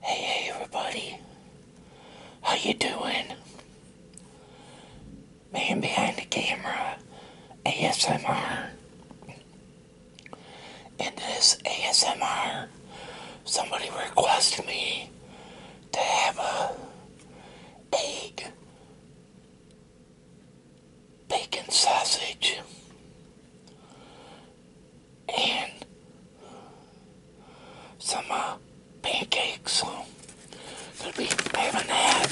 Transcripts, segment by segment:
Hey, everybody. How you doing? Man behind the camera, ASMR. In this ASMR, somebody requested me to have a egg bacon sausage and some uh, pancakes. So gonna be having that.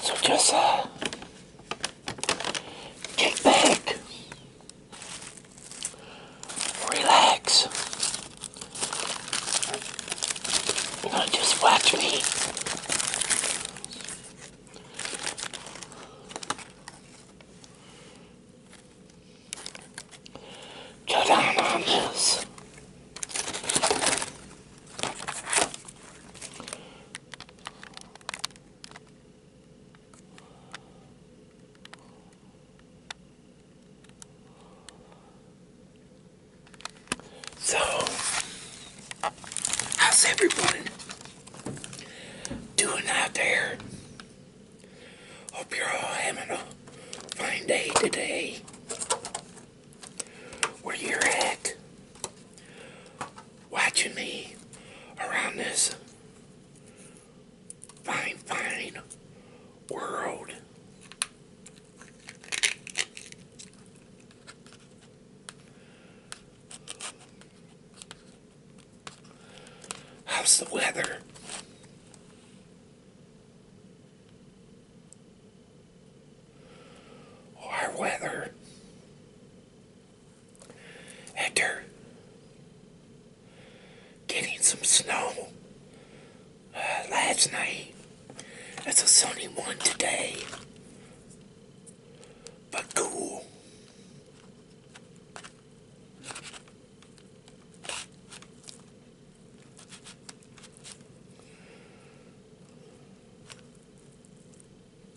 So just uh, kick back relax. just watch me. Go down on so, how's everyone doing out there? Hope you're all having a fine day today. Where you're at, watching me around this fine, fine world. How's the weather? Our weather after getting some snow uh, last night, it's a sunny one today, but cool.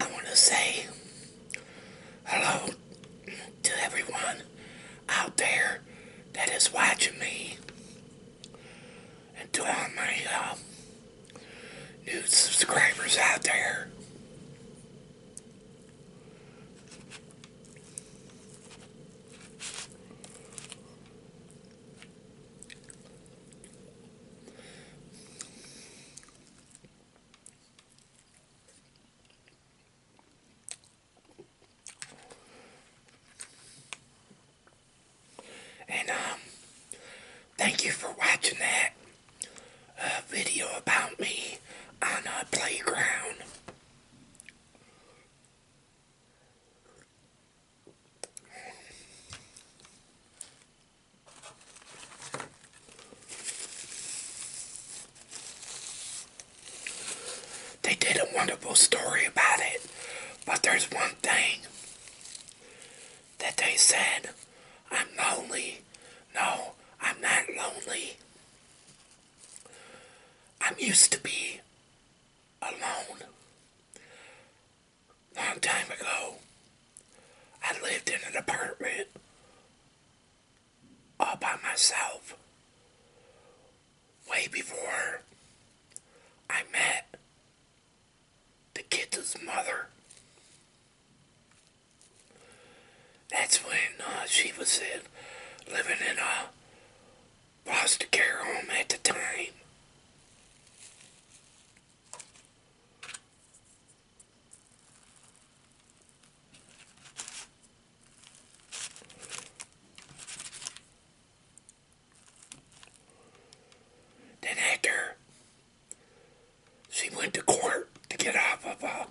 I want to say Hello to everyone out there that is watching me and to all my uh, new subscribers out there. And, um, thank you for watching that uh, video about me on a playground. They did a wonderful story about it, but there's one thing that they said I'm lonely. No, I'm not lonely. I'm used to be alone. Long time ago, I lived in an apartment all by myself way before I met the kid's mother. That's when uh, she was in, living in a foster care home at the time. Then after she went to court to get off of uh,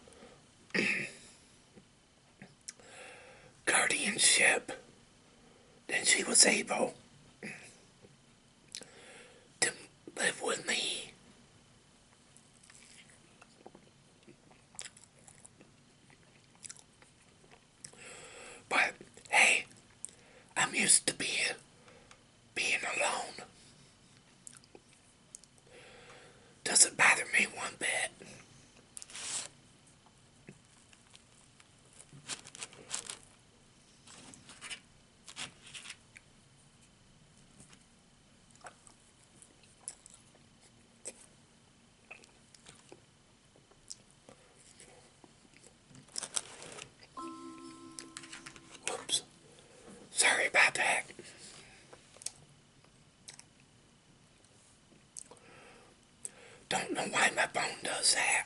a guardianship, then she was able to live with me but hey, I'm used to being being alone. Doesn't bother me one bit. Whoops. Sorry about that. Don't know why my phone does that.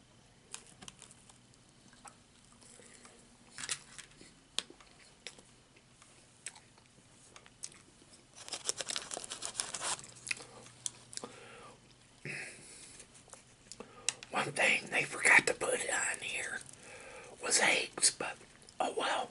One thing they forgot to put on here was eggs, but oh well.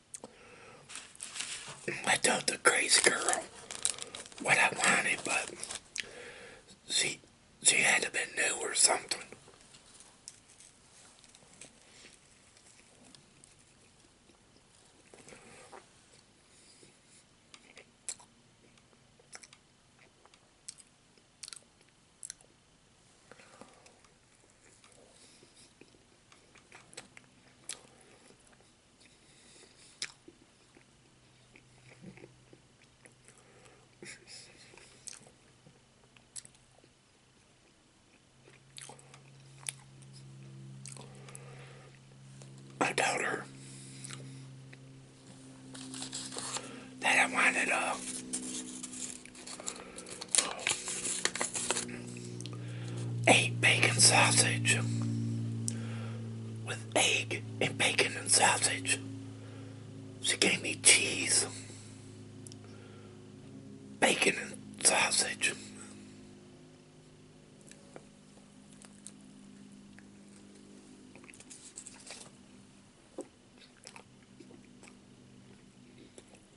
I told the crazy girl what I wanted, but she she had to be new or something. I doubt her that I it all a bacon sausage with egg and bacon and sausage. She gave me cheese, bacon and sausage.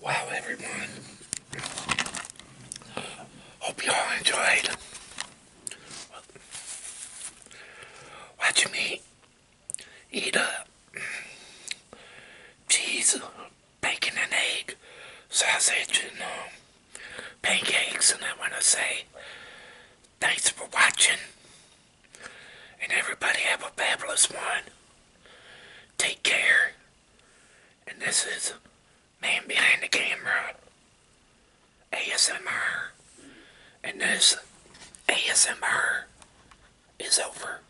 Wow, everyone. Hope you all enjoyed watching me eat a Jesus bacon and egg sausage and um, pancakes and I want to say thanks for watching and everybody have a fabulous one take care and this is man behind the camera ASMR and this ASMR is over